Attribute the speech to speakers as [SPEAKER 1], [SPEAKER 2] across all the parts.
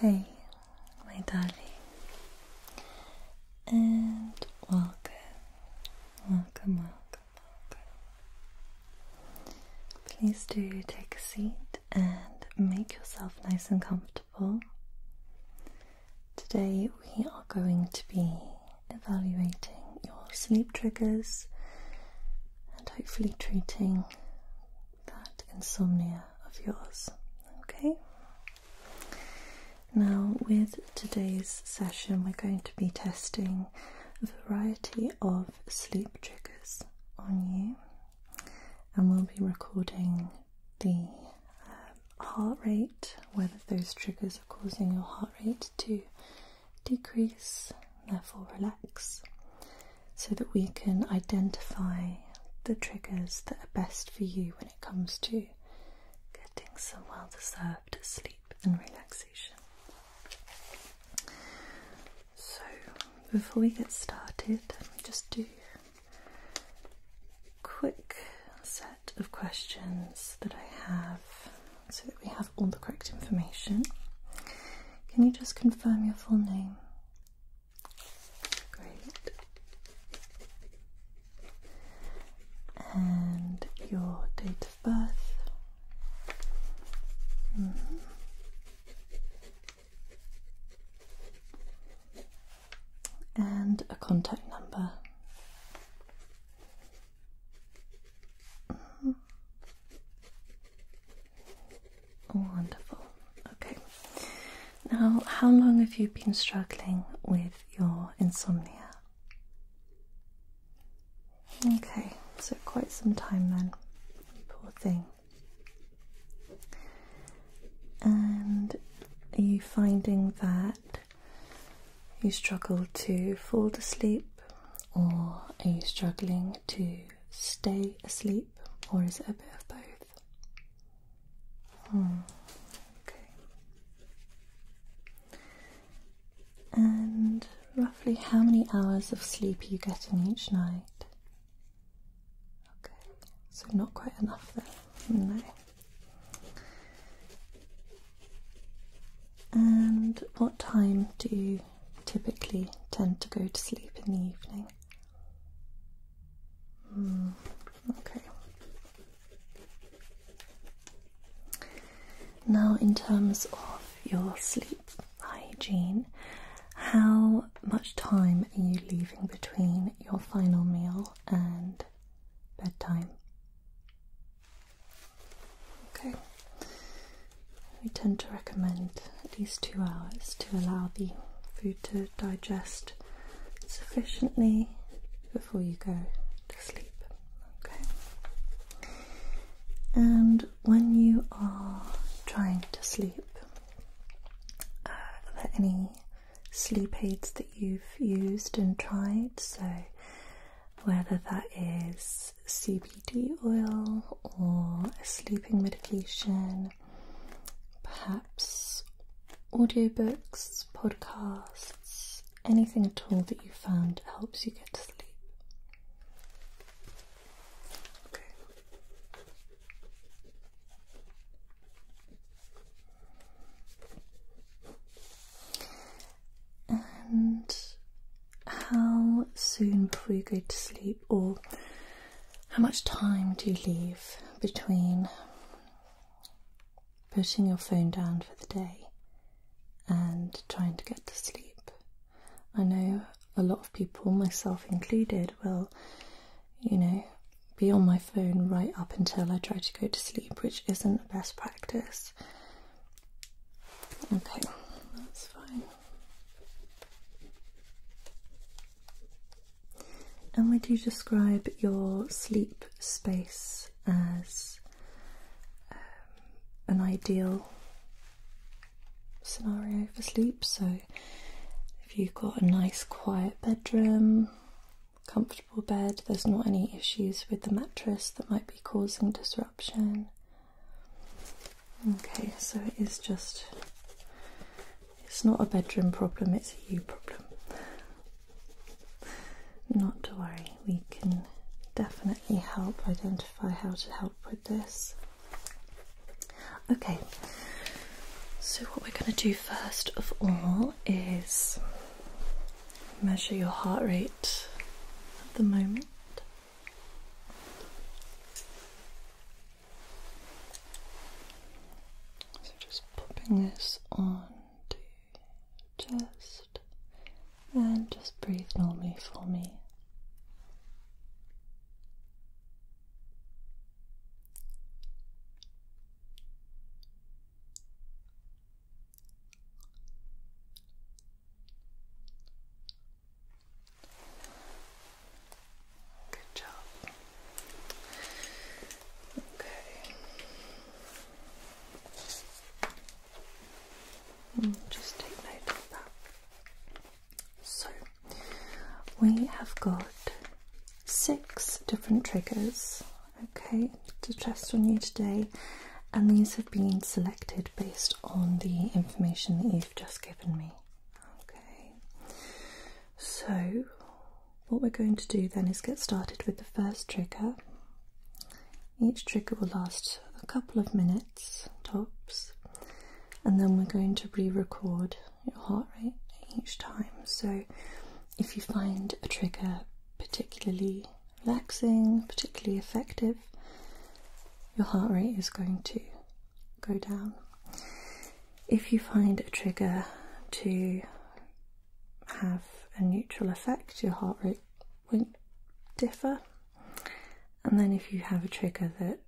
[SPEAKER 1] Hey, my darling, and welcome, welcome, welcome, welcome. Please do take a seat and make yourself nice and comfortable. Today, we are going to be evaluating your sleep triggers and hopefully treating that insomnia of yours. Okay? Now, with today's session, we're going to be testing a variety of sleep triggers on you, and we'll be recording the um, heart rate, whether those triggers are causing your heart rate to decrease, therefore relax, so that we can identify the triggers that are best for you when it comes to getting some well deserved sleep and relaxation. So, before we get started, just do a quick set of questions that I have so that we have all the correct information. Can you just confirm your full name? Great. And your date of birth? Mm-hmm. And a contact number. Oh, wonderful. Okay. Now, how long have you been struggling with your insomnia? Okay, so quite some time then. Poor thing. And are you finding that you struggle to fall asleep, or are you struggling to stay asleep, or is it a bit of both? Hmm, okay. And roughly how many hours of sleep are you getting each night? Okay, so not quite enough then. No. And what time do you typically tend to go to sleep in the evening? Hmm, okay. Now, in terms of your sleep hygiene, how much time are you leaving between your final meal and bedtime? Okay. We tend to recommend at least two hours to allow the food to digest sufficiently before you go to sleep. Okay. And when you are trying to sleep, uh, are there any sleep aids that you've used and tried? So, whether that is CBD oil or a sleeping medication, perhaps audiobooks, podcasts, anything at all that you found helps you get to sleep. And how soon before you go to sleep, or how much time do you leave between putting your phone down for the day and trying to get to sleep? I know a lot of people, myself included, will, you know, be on my phone right up until I try to go to sleep, which isn't best practice. Okay, that's fine. And would you describe your sleep space as um, an ideal scenario for sleep? So, if you've got a nice quiet bedroom, comfortable comfortable bed, there's not any issues with the mattress that might be causing disruption. Okay, so it is just, it's not a bedroom problem, it's a you problem. Not to worry, we can definitely help identify how to help with this. Okay, so what we're going to do first of all is Measure your heart rate at the moment. So just popping this on to chest and just breathe normally for me. Good job. Okay. Mm, just take note of that. So, we have got six different triggers okay, to test on you today. And these have been selected based on the information that you've just given me. Okay, so what we're going to do then is get started with the first trigger. Each trigger will last a couple of minutes tops, and then we're going to re record your heart rate each time. So if you find a trigger particularly relaxing, particularly effective, your heart rate is going to go down. If you find a trigger to have a neutral effect, your heart rate won't differ. And then if you have a trigger that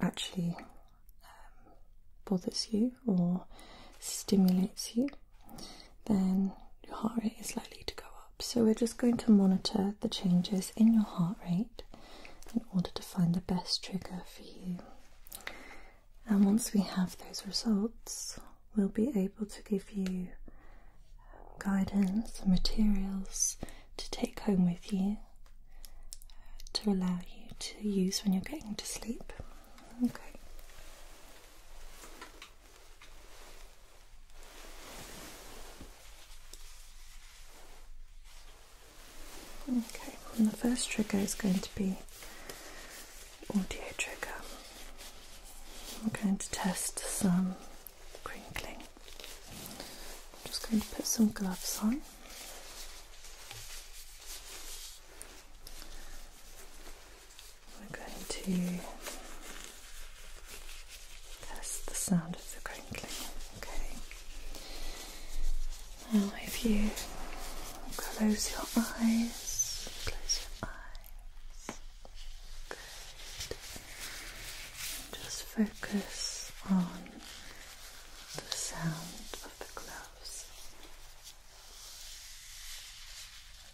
[SPEAKER 1] actually um, bothers you or stimulates you, then your heart rate is likely to go up. So we're just going to monitor the changes in your heart rate in order to find the best trigger for you. And once we have those results, we'll be able to give you um, guidance and materials to take home with you to allow you to use when you're getting to sleep. Okay. Okay, and the first trigger is going to be audio trigger. I'm going to test some crinkling. I'm just going to put some gloves on. We're going to test the sound of the crinkling. Okay. Now, if you close your eyes, close your eyes. Good. Just focus on the sound of the gloves.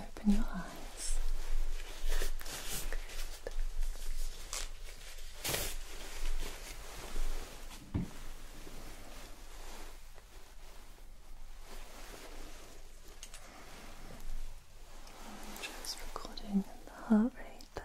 [SPEAKER 1] open your eyes. Just recording the heart rate there.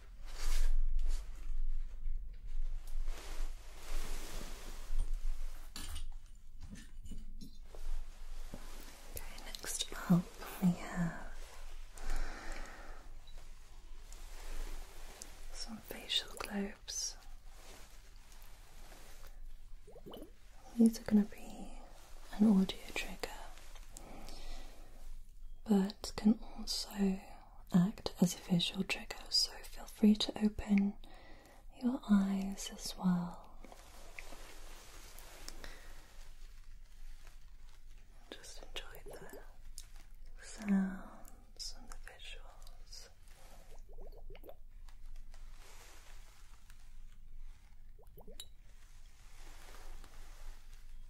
[SPEAKER 1] Okay, next up we have some facial globes. These are going to be an audio trigger, but that can also act as a visual trigger, so feel free to open your eyes as well. Just enjoy the sounds and the visuals.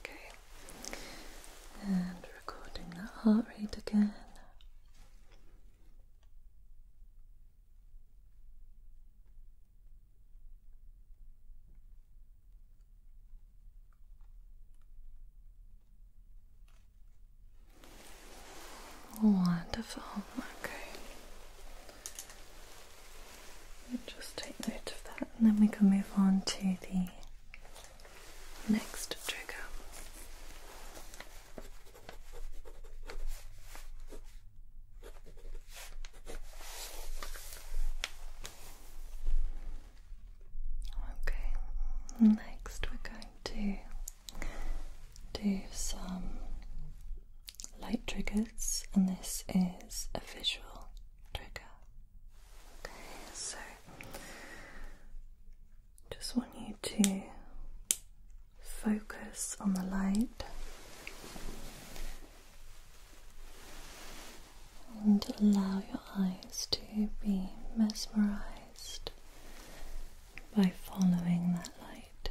[SPEAKER 1] Okay, and recording that heart rate again. Wonderful. Okay. We'll just take note of that and then we can move on to the next trigger. Okay, next we're going to do some light triggers, and this is a visual trigger. so just want you to focus on the light and allow your eyes to be mesmerized by following that light.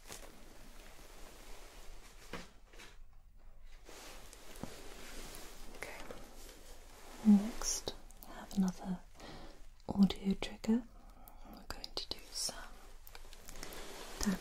[SPEAKER 1] Okay. Next, I have another audio trigger. We're going to do some tapping.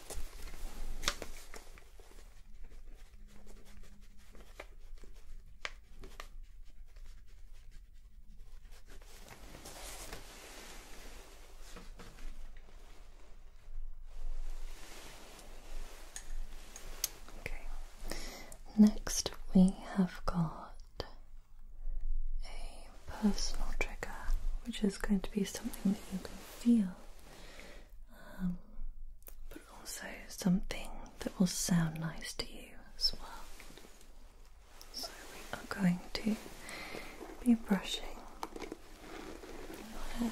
[SPEAKER 1] Okay, next we have got a personal trigger, which is going to be something that you can feel, um, but also something that will sound nice to you as well. So, we are going to be brushing your hair.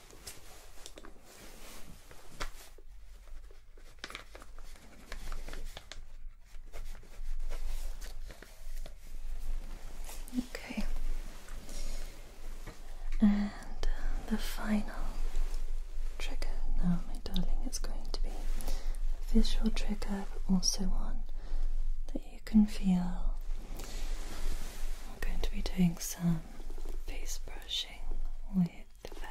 [SPEAKER 1] Okay. And uh, the final trigger now, my darling, it's going to be a visual trigger, but also one that you can feel. I'm going to be doing some face brushing with with the feather.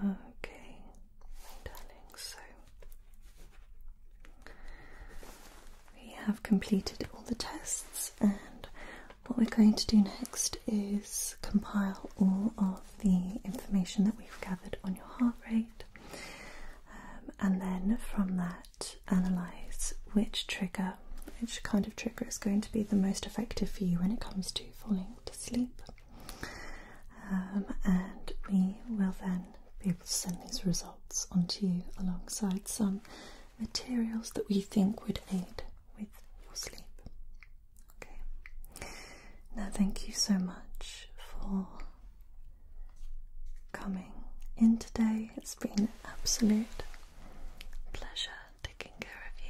[SPEAKER 1] Okay, darling, so we have completed all the tests, and what we're going to do next is compile all of the information that we've gathered on your heart rate um, and then from that, analyze which trigger, which kind of trigger is going to be the most effective for you when it comes to falling to sleep. Um, and we will then be able to send these results onto you alongside some materials that we think would aid with your sleep. Okay. Now, thank you so much for coming in today. It's been absolute pleasure taking care of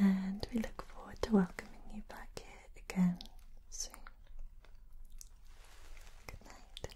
[SPEAKER 1] you, and we look forward to welcoming you back here again soon. Good night.